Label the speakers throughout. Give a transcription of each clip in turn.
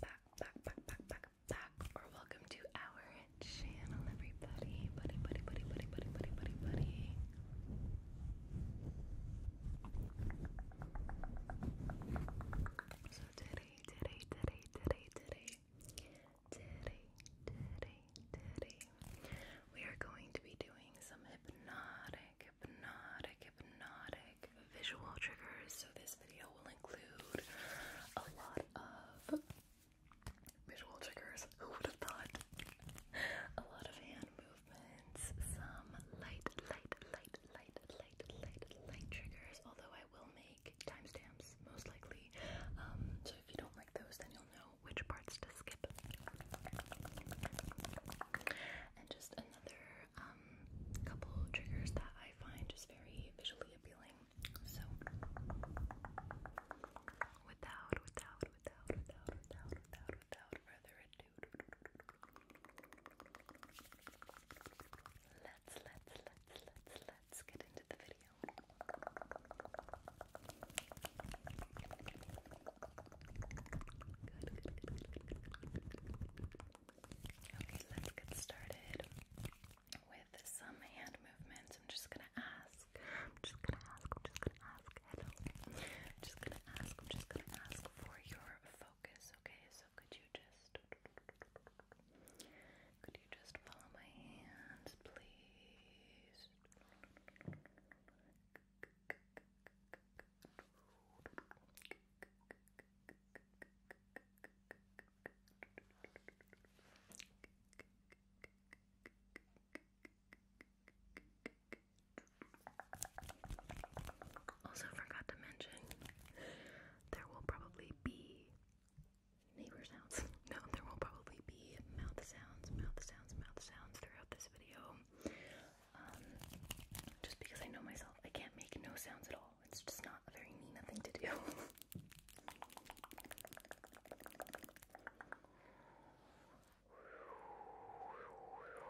Speaker 1: back, back, back, back, back, back, or welcome to our channel, everybody. Buddy, buddy, buddy, buddy, buddy, buddy, buddy, buddy. So today, today, today, today, today, today, today, today, we are going to be doing some hypnotic, hypnotic, hypnotic visual triggers. So this this video will include a lot of visual triggers. Who would have thought? A lot of hand movements, some light, light, light, light, light, light, light triggers. Although I will make timestamps most likely. Um, so if you don't like those, then you'll know which parts to skip. And just another um, couple triggers that I find just very visually appealing. So without, without, without, without, without, without, further ado, let's, let's, let's, let's, let's get into the video. Okay, let's get started with some hand movements. I'm just gonna ask. I'm just gonna ask. I'm just gonna ask. just gonna ask. I'm just gonna ask for your focus. Okay. So could you just could you just follow my hands, please? Also, forgot to mention there will probably be neighbor sounds. No, there will probably be mouth sounds, mouth sounds, mouth sounds throughout this video. Um, just because I know myself, I can't make no sounds at all. It's just not not very Nina thing to do.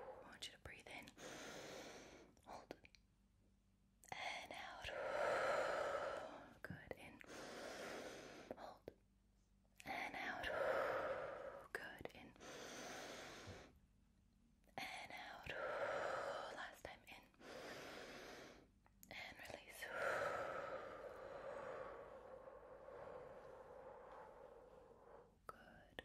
Speaker 1: I want you to breathe in, hold, and out. Good, in, hold, and out. Good, in, and out. Last time, in, and release. Good. Good.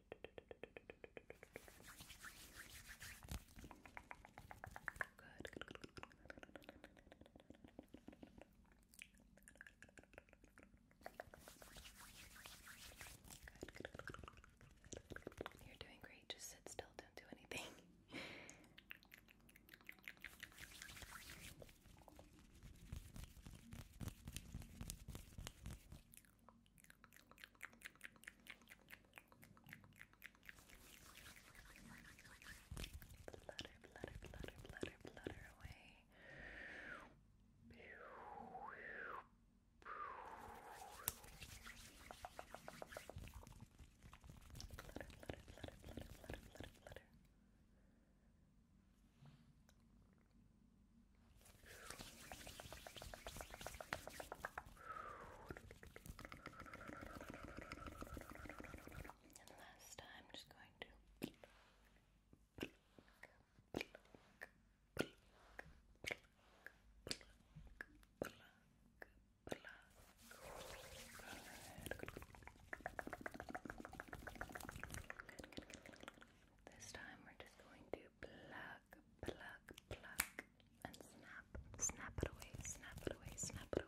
Speaker 1: Good. Good, good, good, good. You're doing great. Just sit still. Don't do anything. Good. Flutter, flutter, flutter, flutter, flutter away. Flutter, flutter, flutter, flutter, flutter, flutter, flutter. And last time, I'm just going to This time, we're just going to pluck, pluck, pluck, and snap, snap it away, snap it away, snap it away.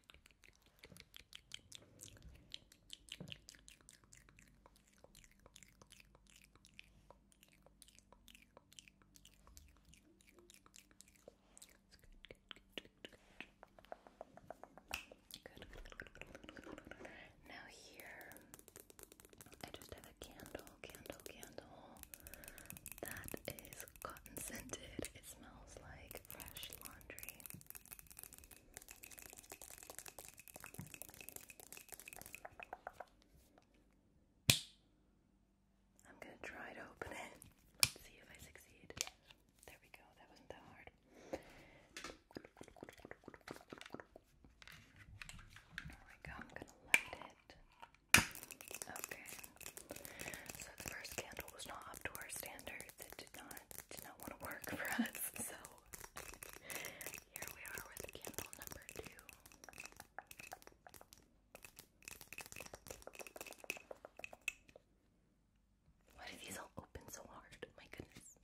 Speaker 1: Good, good, Now here, I just have a candle, candle, candle that is cotton scented. It smells like fresh laundry. I'm going to try to open it. Let's see if I succeed. There we go. That wasn't that hard. There we go. I'm going to light it. Okay. So the first candle was not up to our standards. It did not not did not want to work for us, so here we are with candle number two. Why do these all open so hard? My goodness.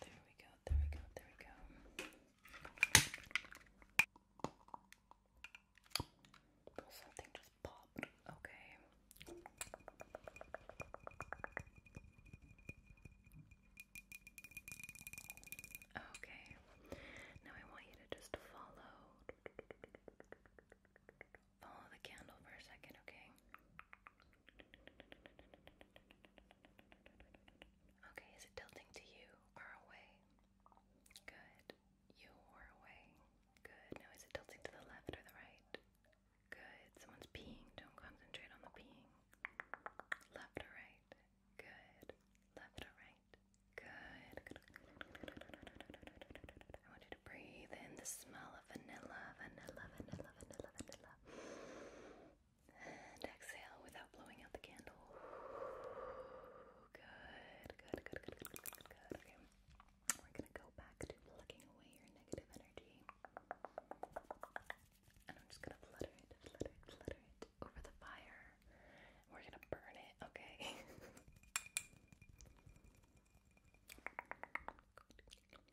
Speaker 1: There we go, there we go, there we go. something just popped. Okay. Okay. Now I want you to just follow follow the candle for a second, okay? Okay, is it tilting to you or away? Good. You or away? Good. Now, is it tilting to the left or the right? Good. Someone's peeing. Don't concentrate on the peeing. Left or right? Good. Left or right? Good. I want you to breathe in the smell of vanilla, vanilla, vanilla, vanilla, vanilla. And exhale without blowing out the candle. Good, good, good, good, good, good, Okay. We're gonna go back to plucking away your negative energy. And I'm just gonna flutter it, flutter it, flutter it over the fire. we're gonna burn it, okay?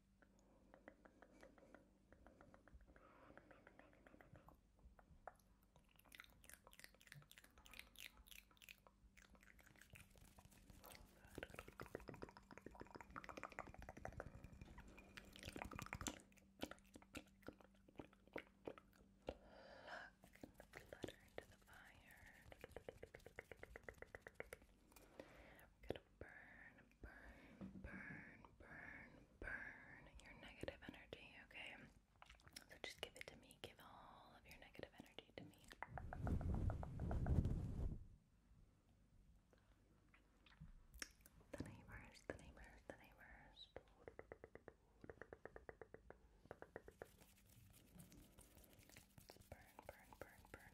Speaker 1: Pluck the flutter into the fire. We're gonna burn, burn, burn, burn, burn your negative energy, okay? So just give it to me. Give all of your negative energy to me. The neighbors, the neighbors, the neighbors. Burn, burn, burn, burn,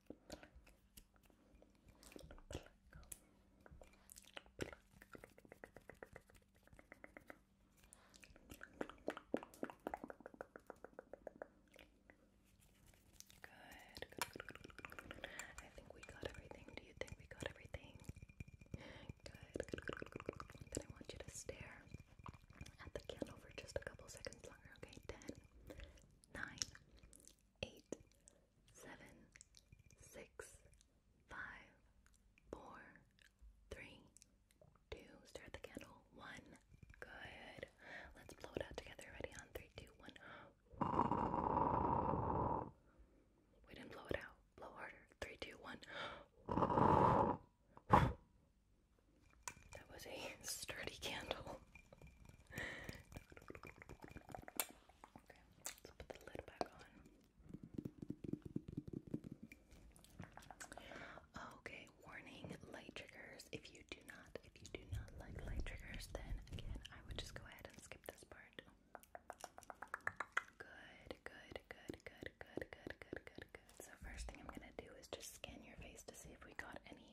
Speaker 1: pluck, Good. I think we got everything. Do you think we got everything? Good. Then I want you to stare at the candle for just a couple seconds longer. Okay, ten, nine, eight, seven, six, five, four, three, two. Stare the candle. One. Good. Let's blow it out together. Ready? On three, two, one. We didn't blow it out. Blow harder. Three, two, one. That was a sturdy candle. okay, let's put the lid back on. Okay, warning light triggers. If you do not, if you do not like light triggers, then again, I would just go ahead and skip this part. Good, good, good, good, good, good, good, good, So first thing I'm gonna do is just scan your face to see if we got any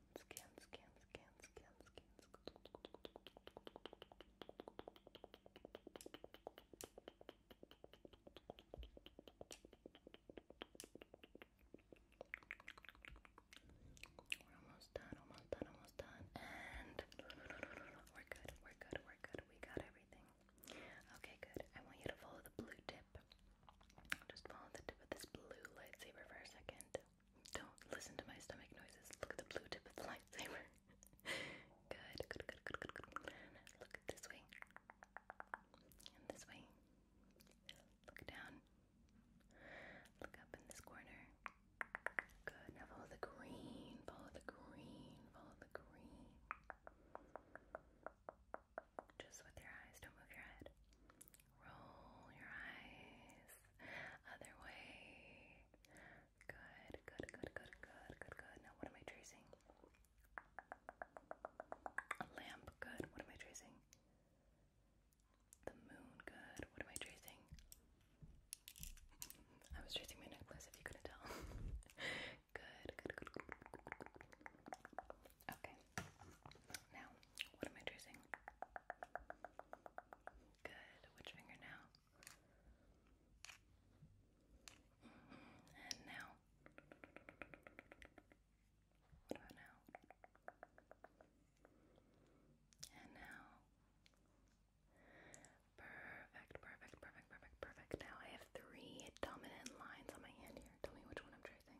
Speaker 1: scan, scan, scan, scan, scan, scan, scan. almost done, almost done, almost done. And we're good, we're good, we're good. We got everything. Okay, good. I want you to follow the blue tip tip. Just follow the tip of this blue lightsaber for a second. Don't listen to my stomach noises. Look at the blue tip of the lightsaber. good, good, good, good, good, good. Look this way. And this way. Look down. Look up in this corner. Good. follow the green. Follow the green. Follow the green just with your eyes. Don't move your head. Roll your eyes. Other way. Good, good, good, good, good, good, good. Now, what am I tracing? lamp. Good. What am I tracing? The moon. Good. What am I tracing? I was tracing my necklace if you couldn't tell. good, good, good. Okay. Now, what am I tracing? Good. Which finger now? And now. What now? And now. Perfect, perfect, perfect, perfect, perfect. Now I have three dominant lines on my hand here. Tell me which one I'm tracing.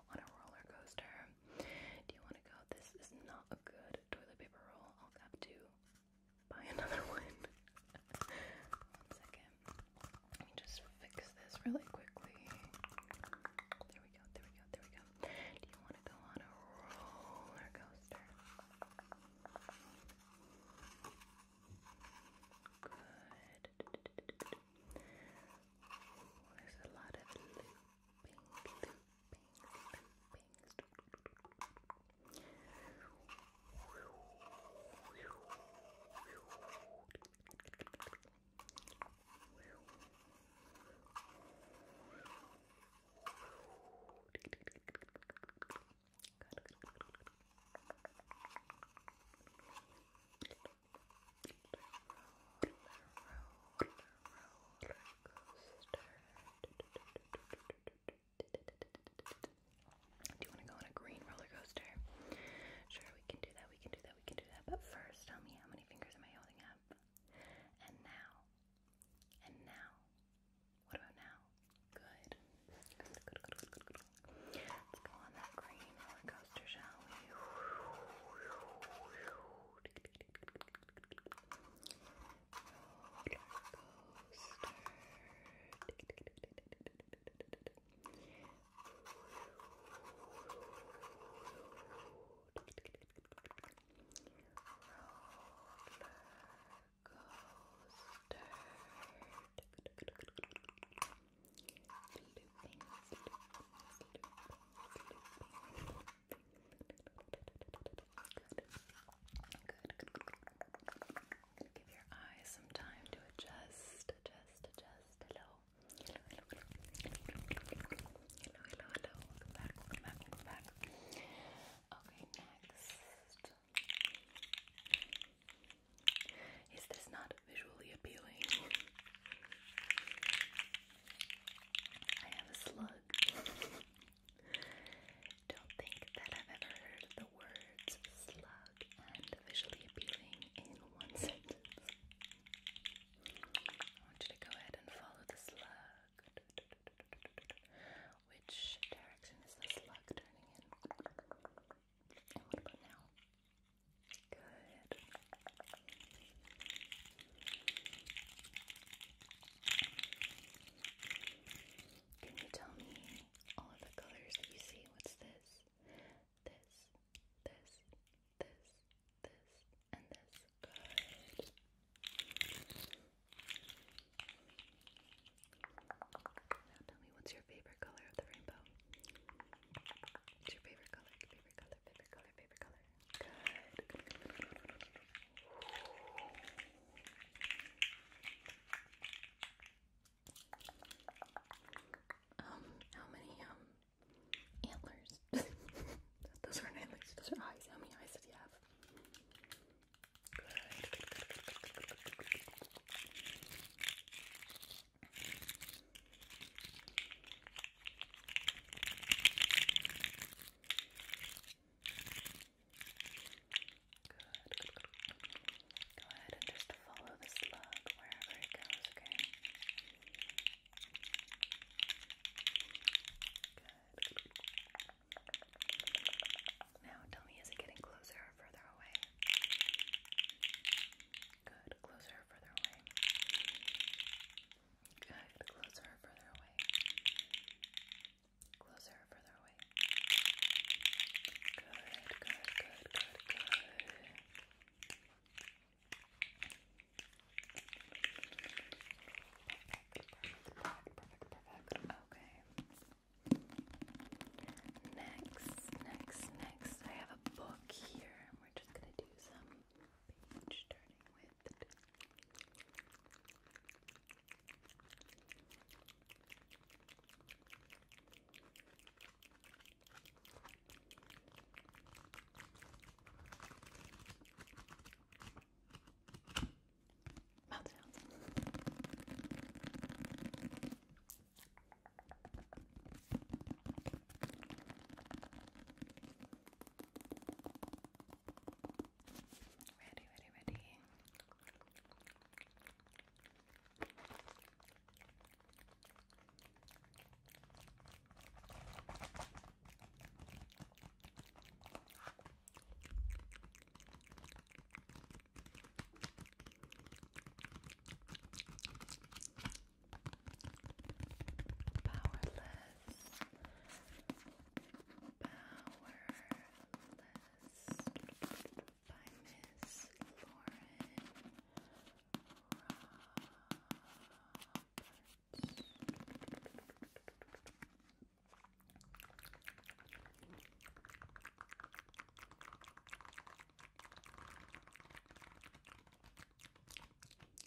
Speaker 1: on a roller coaster. Do you want to go? This is not a good toilet paper roll. I'll have to buy another one. one second. Let me just fix this really quickly. There we go, there we go, there we go. Do you want to go on a roller coaster? Good. There's a lot of loop loopings, loopings, loopings. Good, good, good, good. Do you want to go on a green roller coaster? Sure, we can do that, we can do that, we can do that. But first, tell me how many fingers am I holding up? And now, and now, what about now? Good, Let's go on that green roller coaster, shall we? coaster looping, looping, Give your eyes some time to adjust, adjust, adjust. Hello. Hello, hello, Okay, next. Is this not visually appealing? I have a slug. Don't think that I've ever heard the words slug and visually appealing in one sentence. I want you to go ahead and follow the slug. Which direction is this slug turning in? And what about now? Good. Can you tell me all of the colors that you see? What's this? This, this, this, this, and this. Good. Now tell me what's your favorite color of the rainbow? What's your favorite color? Favorite color, favorite color, favorite color. Um, how many um antlers? those are antlers, those are eyes. How many eyes do you have? this. Good, good. Go ahead and just follow the slug wherever it goes, okay? Good. Now tell me, is it getting closer or further away? Good, closer or further away? Closer further away. Closer further away. Good, good, good, good, good. Perfect, perfect, perfect. Okay. Next, next, next. I have a book here. We're just gonna do some page starting with mouth sounds. Ready, ready, ready. Powerless. Powerless by Miss Lauren Roberts.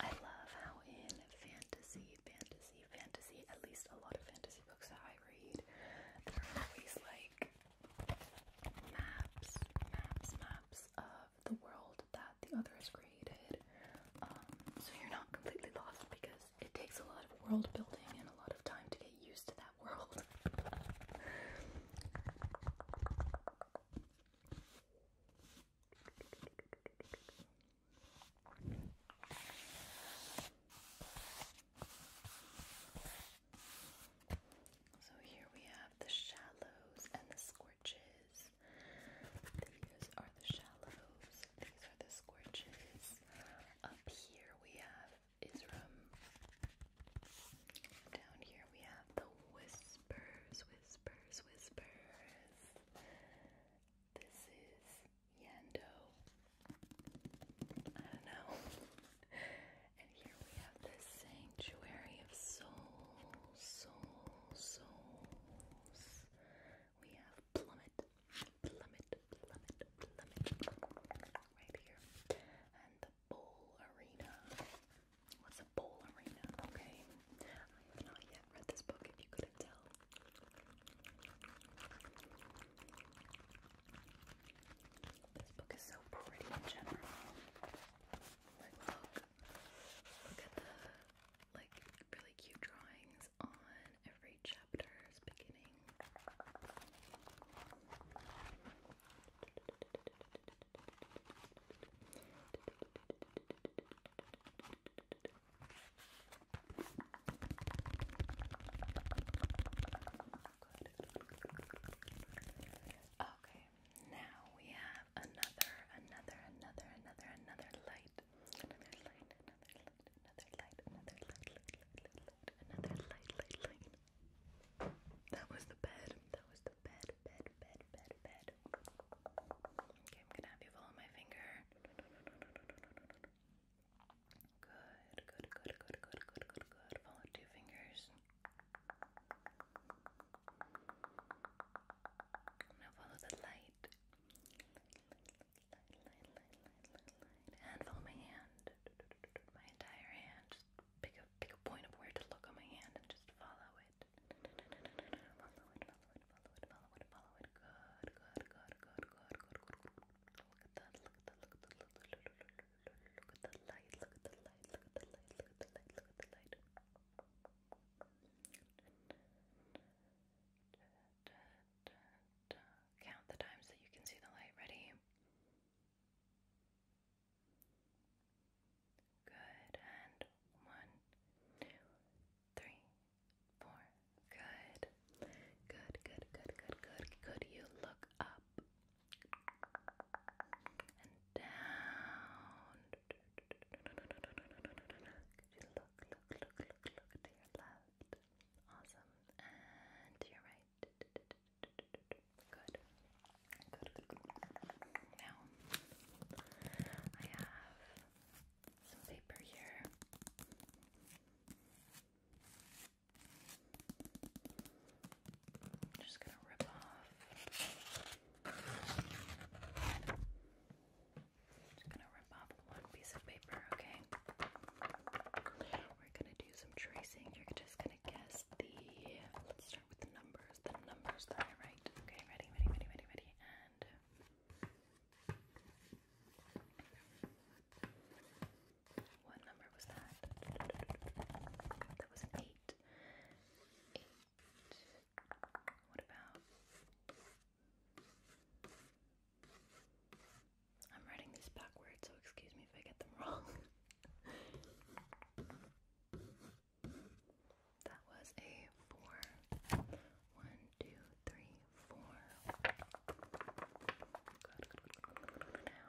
Speaker 1: I love how in fantasy, fantasy, fantasy, at least a lot of fantasy books that I read, they're always like maps, maps, maps of the world that the other has created. Um, so you're not completely lost because it takes a lot of world building and a lot of time to get used to that world. So here we have the shallows and the scorches. These are the shallows. These are the scorches. Up here we have Isram. Down here we have the whispers, whispers, whispers. This is Yando. I don't know. And here we have this sanctuary of souls, souls, souls. We have plummet, plummet, plummet, plummet right here. And the bowl arena. What's a bowl arena? Okay. I have not yet read this book if you couldn't tell. This book is so pretty in general. Like, look. Look at the, like, really cute drawings on every chapter's beginning. Okay, now we have another, another, another, another, another light. Another light, another light, another light, another light, light, light, light, another light, light, light. That was the bed. That was the bed, bed, bed, bed, bed. Okay, I'm gonna have you follow my finger. good, good, good, good, good, good, good. Follow two fingers. I'm follow the light. And follow my hand. My entire hand. Just pick a pick a point of where to look on my hand and just follow it. Follow it, follow it, follow it, follow it, follow it. Good, good, good, good, good, good, good. Look at that, look at that, look at that. Look at the light, look at the light, look at the light, look at the light, look at the light. Da, da, da. Count the times that you can see the light. Ready? Good. And one, two, three, four. Good. Good, good, good, good, good. Could you look up? and down. you look, look, look, look, look to left? Awesome. And to your right. good, good. Now, I have some paper here just gonna rip off. Just gonna rip off one piece of paper, okay? We're gonna do some tracing. You're just gonna guess the. Let's start with the numbers. The numbers that I write. Okay, ready, ready, ready, ready, ready, and. What number was that? That was an eight. Eight. What about? I'm writing these backwards, so excuse me if I get them wrong. that was a four. One, two, three, four. now.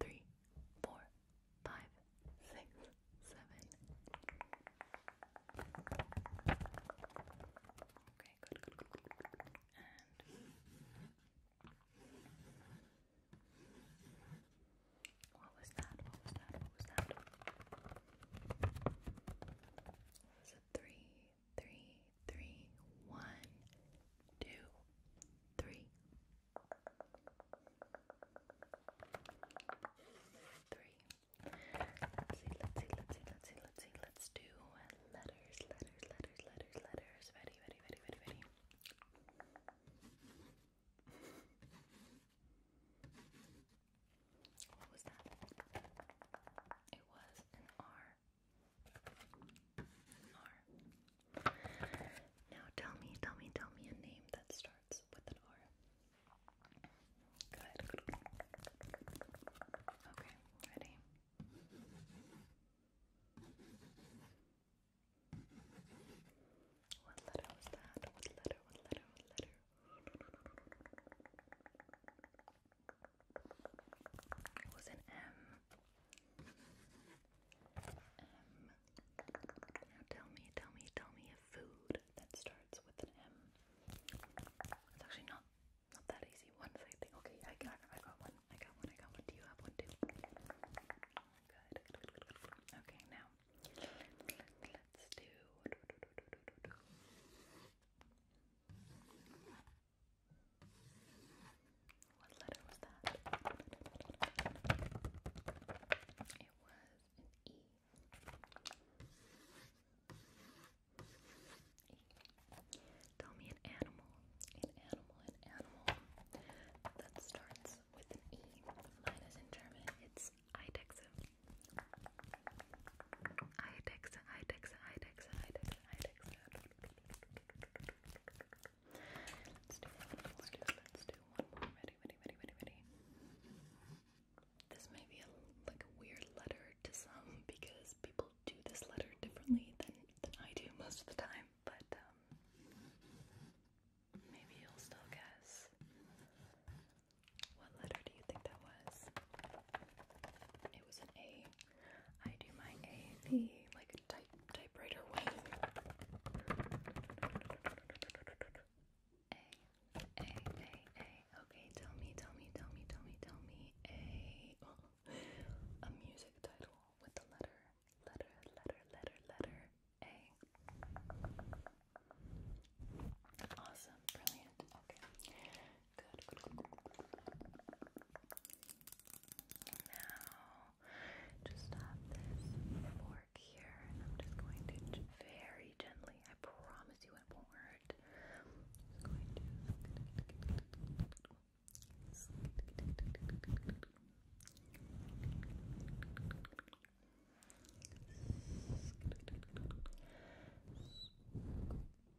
Speaker 1: three, four, five, six, seven. Okay, good, good, good, And what was that? What was that? What was that? was a three, three, three, one, two, three, three. Let's see, let's see, let's see, let's see, let's see, let's do uh, letters, letters, letters, letters, letters. Ready, ready, ready, ready, ready. What was that? It was an R. R. Now tell me, tell me, tell me a name that starts with an R. Good. Okay, ready? What letter was that? What letter? What letter? What letter? It was an M. Um, now tell me, tell me, tell me a food that starts with an M. It's actually not not that easy. One second. Okay, I got, I got one. I got one. I got one. Do you have one too? good. Okay, now let's do. What letter was that? It was an E. Tell me an animal, an animal, an animal that starts with an E. Mine in German. It's Eidechse. Eidechse, Eidechse, Eidechse, Eidechse, this may be like a weird letter to some because people do this letter differently than than I do most of the time, but um, maybe you'll still guess. What letter do you think that was? It was an A. I do my A the like type typewriter way. A A A A. Okay, tell me, tell me, tell me, tell me, tell me a a music title with the letter letter letter letter letter A. Awesome, brilliant. Okay, good. good, good, good. Now, just have this fork here, and I'm just going to very gently, I promise you it won't hurt.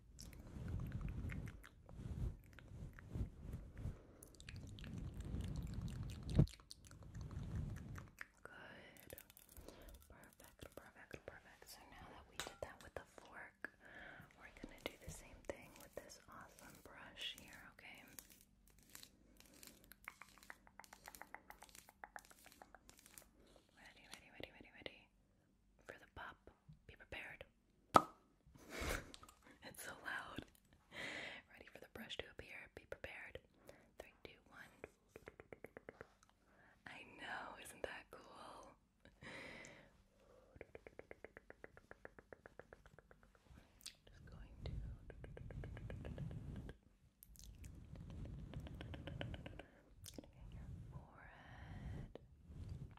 Speaker 1: Good. Perfect, perfect, perfect. So now that we did that with the fork, we're gonna do the same thing with this awesome brush here, okay? Ready, ready, ready, ready, ready for the pop. Be prepared. it's so loud. Ready for the brush to appear. Be prepared. Three, two, one. I know, isn't that cool? Just going to. Forehead.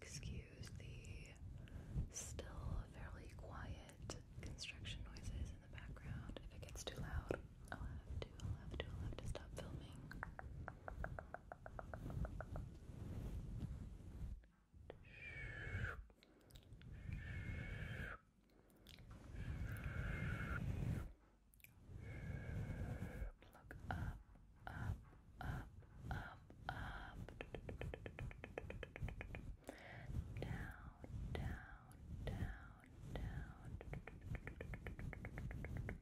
Speaker 1: Excuse the still fairly quiet construction noises in the background if it gets too loud. I'll have to, I'll have to, I'll have to stop filming. Look up, up, up, up, up. Down, down, down down, down. Good. Good, good, good, good, good.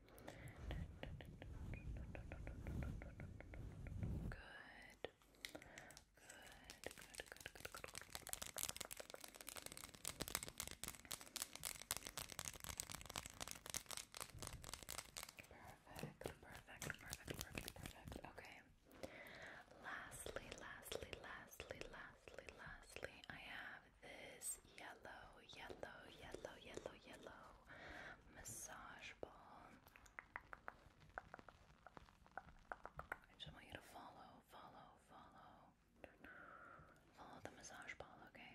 Speaker 1: Perfect, perfect, perfect, perfect, perfect. Okay. Lastly, lastly, lastly, lastly lastly, I have this yellow, yellow, yellow, yellow, yellow massage ball. I just want you to follow, follow, follow. Follow the massage ball, okay?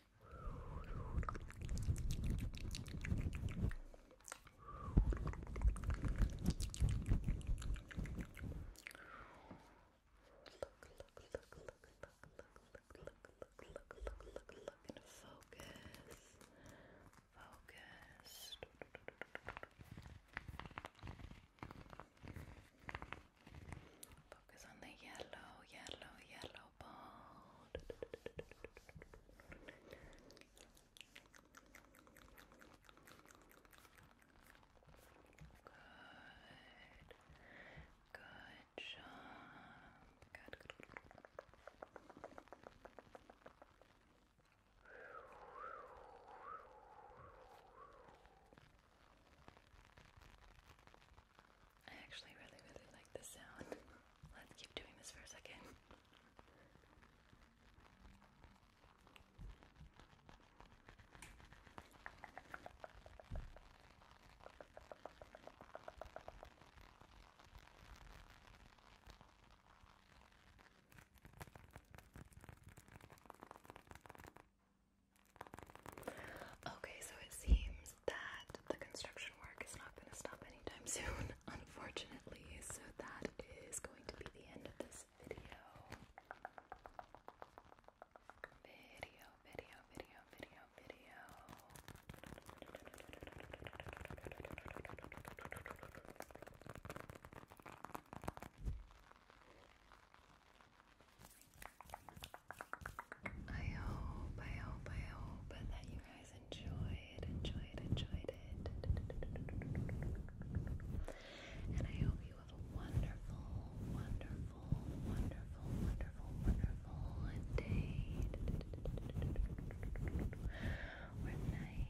Speaker 1: look, look, and focus, focus. Focus on the yellow, yellow, yellow ball. Good. Good job. Good. good. Good. I actually really, really like this sound. Let's keep doing this for a second. Okay, so it seems that the construction work is not going to stop anytime soon, unfortunately. So that is going to be the end of this video. Video, video, video, video, video. I hope, I hope, I hope that you guys enjoyed, enjoyed, enjoyed it. And I hope you have a wonderful, wonderful, wonderful, wonderful, wonderful day or night.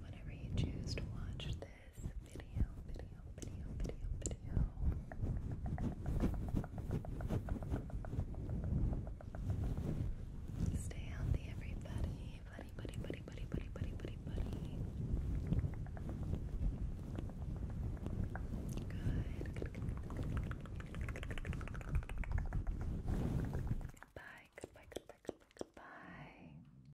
Speaker 1: Whenever you choose to watch this this video, video, video, video, video. Stay healthy, everybody. Buddy, buddy, buddy, buddy, buddy, buddy, buddy, buddy. good. Bye. Goodbye, goodbye, goodbye, goodbye.